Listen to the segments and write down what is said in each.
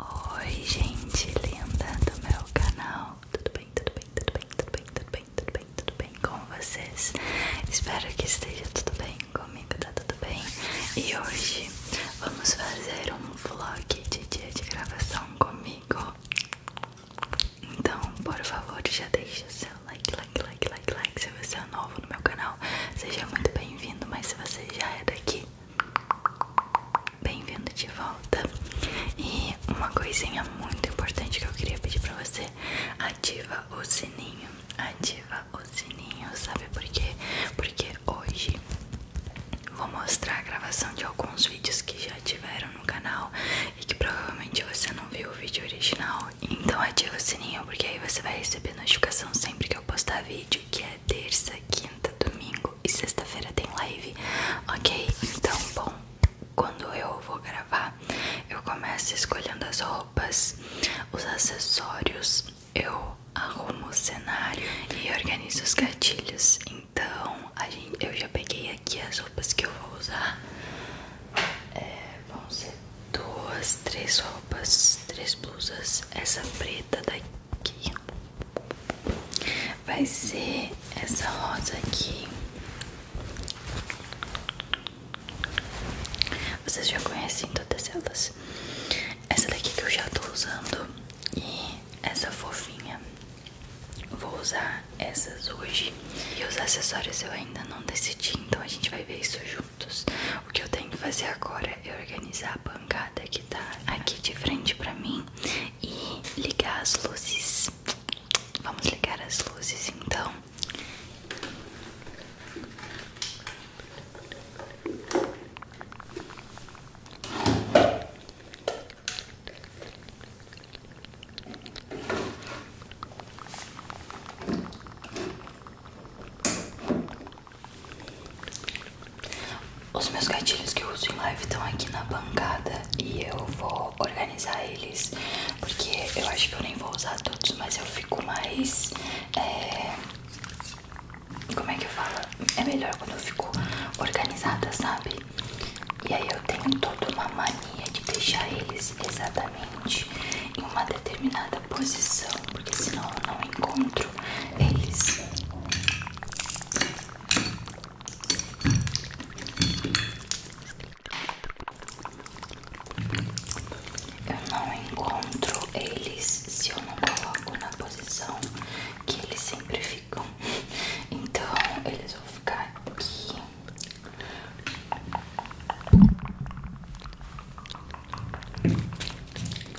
Oi gente linda do meu canal, tudo bem, tudo bem, tudo bem, tudo bem, tudo bem, tudo bem, tudo bem com vocês? Espero que esteja tudo bem, comigo tá tudo bem E hoje vamos fazer um vlog de dia de gravação comigo Então por favor já deixa o seu like, like, like, like, like Se você é novo no meu canal, seja muito bem-vindo Mas se você já é daqui Bem-vindo de volta. E uma coisinha muito importante que eu queria pedir para você, ativa o sininho. Ativa o sininho, sabe por quê? Porque hoje vou mostrar a gravação de alguns vídeos que já tiveram no canal e que provavelmente você não viu o vídeo original. Então ativa o sininho porque aí você vai receber notificação sempre que eu postar vídeo, que é terça quinta, domingo e sexta-feira tem live, ok? Então, bom, quando eu vou gravar, eu começo escolhendo as roupas, os acessórios, eu arrumo o cenário e organizo os gatilhos. Então, a gente, eu já peguei aqui as roupas que eu vou usar. É, vão ser duas, três roupas, três blusas. Essa preta daqui vai ser essa rosa aqui. Vocês já conhecem todas elas. Essa daqui que eu já tô usando e essa fofinha. Vou usar essas hoje. E os acessórios eu ainda não decidi, então a gente vai ver isso juntos. O que eu tenho que fazer agora eu organizar a bancada que tá aqui de frente pra mim e ligar as luzes. Vamos ligar as luzes então. Os meus gatilhos que eu uso em live estão aqui na bancada e eu vou organizar eles porque eu acho que eu nem vou usar todos, mas eu fico mais. É, como é que eu falo? É melhor quando eu fico organizada, sabe? E aí eu tenho toda uma mania de deixar eles exatamente em uma determinada posição, porque senão eu não encontro eles. Eu não encontro eles se eu não coloco na posição que eles sempre ficam. Então eles vão ficar aqui.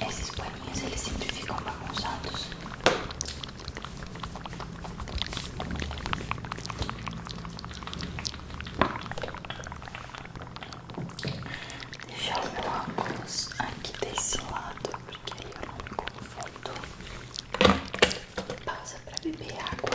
É, esses paninhos eles sempre ficam bagunçados. Deixar o meu óculos aqui desse lado, porque aí eu não me confundo. Pausa para beber água.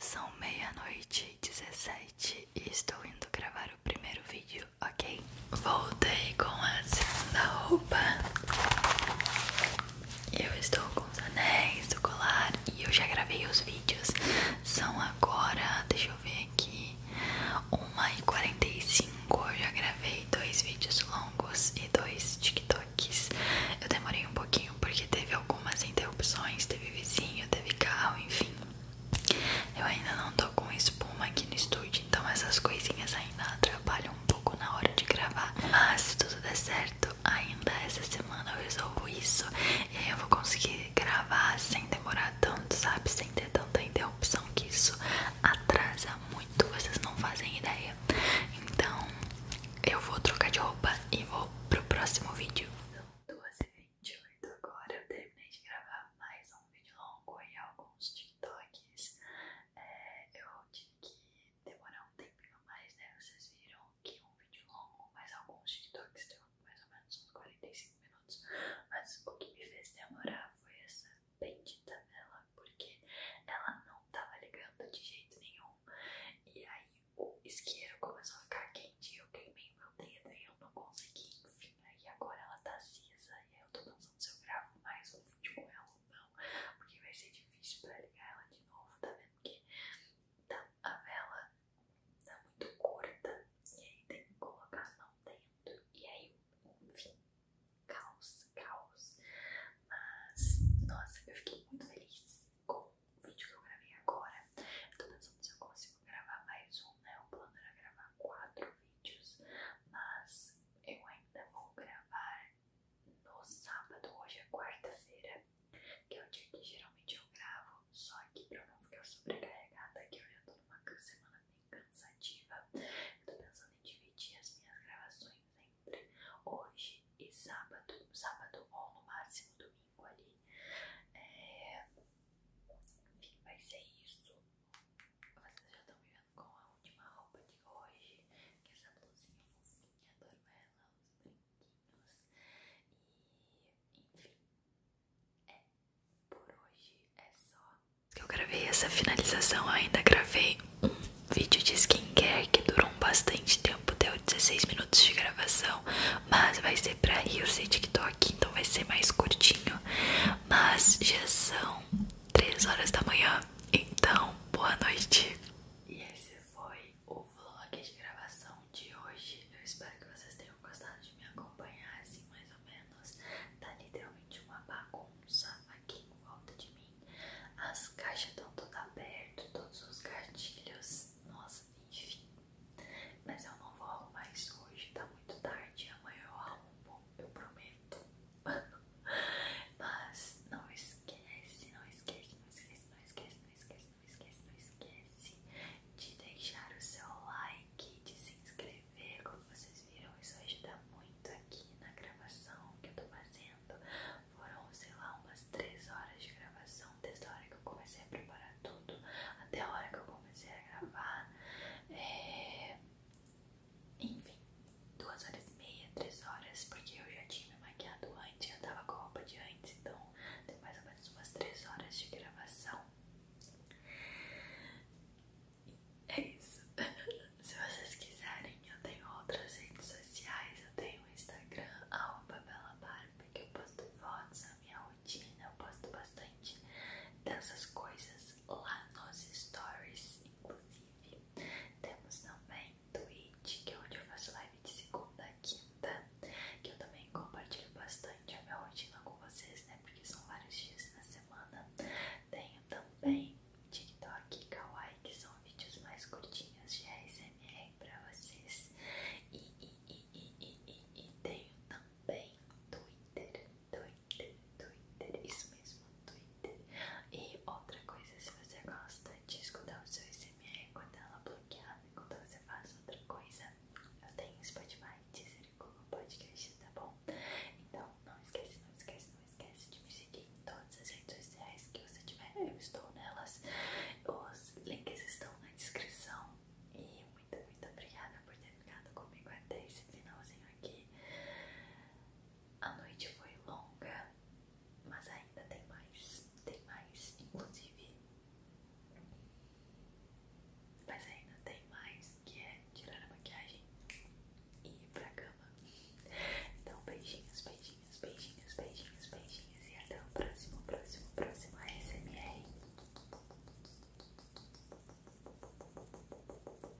São meia-noite e dezessete e estou indo gravar o primeiro vídeo ok? Voltei com a segunda roupa. Eu estou com os anéis, do colar e eu já gravei os vídeos. São agora, deixa eu ver aqui, 1h45. Eu já gravei dois vídeos longos e dois TikToks. Eu demorei um pouquinho porque teve algumas interrupções, teve vizinho, teve carro, enfim. Eu ainda não tô com espuma aqui no estúdio então essas coisinhas ainda atrapalham um pouco na hora de gravar. Mas se tudo der certo, ainda essa semana eu resolvo isso e aí eu vou conseguir gravar sem demorar tanto, sabe? Sem ter tanta interrupção que isso atrasa muito, vocês não fazem ideia. Então eu vou trocar de roupa e vou pro próximo vídeo. São então, 2h28 agora, eu terminei de gravar mais um vídeo longo e alguns de TikToks, é, eu tive que demorar um tempinho mais, né? Vocês viram que um vídeo longo, mas alguns TikToks deu mais ou menos uns 45 minutos. Mas o que me fez demorar foi essa bendita vela, porque ela não tava ligando de jeito nenhum. E aí o isqueiro começou a ficar quente, eu queimei meu dedo e eu não consegui enfiar e agora ela tá cinza e aí eu tô pensando se eu gravo mais um vídeo com ela ou não, porque vai ser difícil pra ligar ela de novo, tá vendo? Porque então a vela tá muito curta e aí tem que colocar a mão dentro. E aí, um fim caos, caos. Mas, nossa, eu fiquei muito feliz com o vídeo que eu gravei agora. Eu tô pensando se eu consigo gravar mais um, né? O plano era gravar quatro vídeos, mas eu ainda vou gravar no sábado, hoje é quarta-feira, que é o dia que geralmente eu gravo, só que pra eu não ficar sobrecarregada, que eu já tô numa semana bem cansativa, eu tô pensando em dividir as minhas gravações entre hoje e sábado, sábado ou no máximo domingo ali. É... Enfim, vai ser isso. Vocês já estão me vendo com a última roupa de hoje, que é essa blusinha fofinha, adoro ela, os brinquinhos. E enfim, é, por hoje é só. Que eu gravei essa finalização, ainda gravei um vídeo de skincare que durou bastante tempo, deu 16 minutos de gravação, mas vai ser pra Reels e TikTok, então vai ser mais curtinho. Mas já são 3 horas da manhã. Então, boa noite. E esse foi o vlog de gravação de hoje. Eu espero que vocês tenham gostado de me acompanhar assim, mais ou menos. Tá literalmente uma bagunça aqui em volta de mim. As caixas estão todas abertas, todos os gatilhos. Nossa, enfim. Mas eu não vou arrumar isso hoje, tá muito tarde. Amanhã eu arrumo, eu prometo. Mas não esquece, não esquece, não esquece, não esquece, não esquece, não esquece, não esquece de deixar o seu like, de se inscrever, como vocês viram, isso ajuda muito aqui na gravação que eu tô fazendo. Foram, sei lá, umas 3 horas de gravação, desde horas que eu comecei a preparar tudo até a hora que eu comecei a gravar. É... Enfim, duas horas e meia, três horas, porque eu já tinha me maquiado antes, eu tava com a roupa de antes, então deu mais ou menos umas três horas de gravação. É isso. Se vocês quiserem, eu tenho outras redes sociais, eu tenho o Babela Barba que eu posto fotos, a minha rotina, eu posto bastante dessas coisas lá nos stories, inclusive. Temos também Twitch, que é onde eu faço live de segunda a quinta, que eu também compartilho bastante a minha rotina com vocês, né? Porque são vários dias na semana. Tenho também TikTok e Kawaii, que são vídeos mais curtinhos de ASMR pra vocês. E, e, e, e, e, e, e tenho também Twitter, Twitter, Twitter, isso mesmo, Twitter. E outra coisa, se você gosta de escutar o seu SMR com a tela bloqueada enquanto você faz outra coisa, eu tenho Spotify, Deezer e Google Podcast, tá bom? Então não esquece, não esquece, não esquece de me seguir em todas as redes sociais que você tiver, eu estou nelas. Os links estão na descrição. E muito, muito obrigada por ter ficado comigo até esse finalzinho aqui. A noite foi longa, mas ainda tem mais, tem mais, inclusive. Mas ainda tem mais, que é tirar a maquiagem e ir pra cama. Então, beijinhos, beijinhos, beijinhos, beijinhos, beijinhos e até o próximo, próximo, próximo ASMR.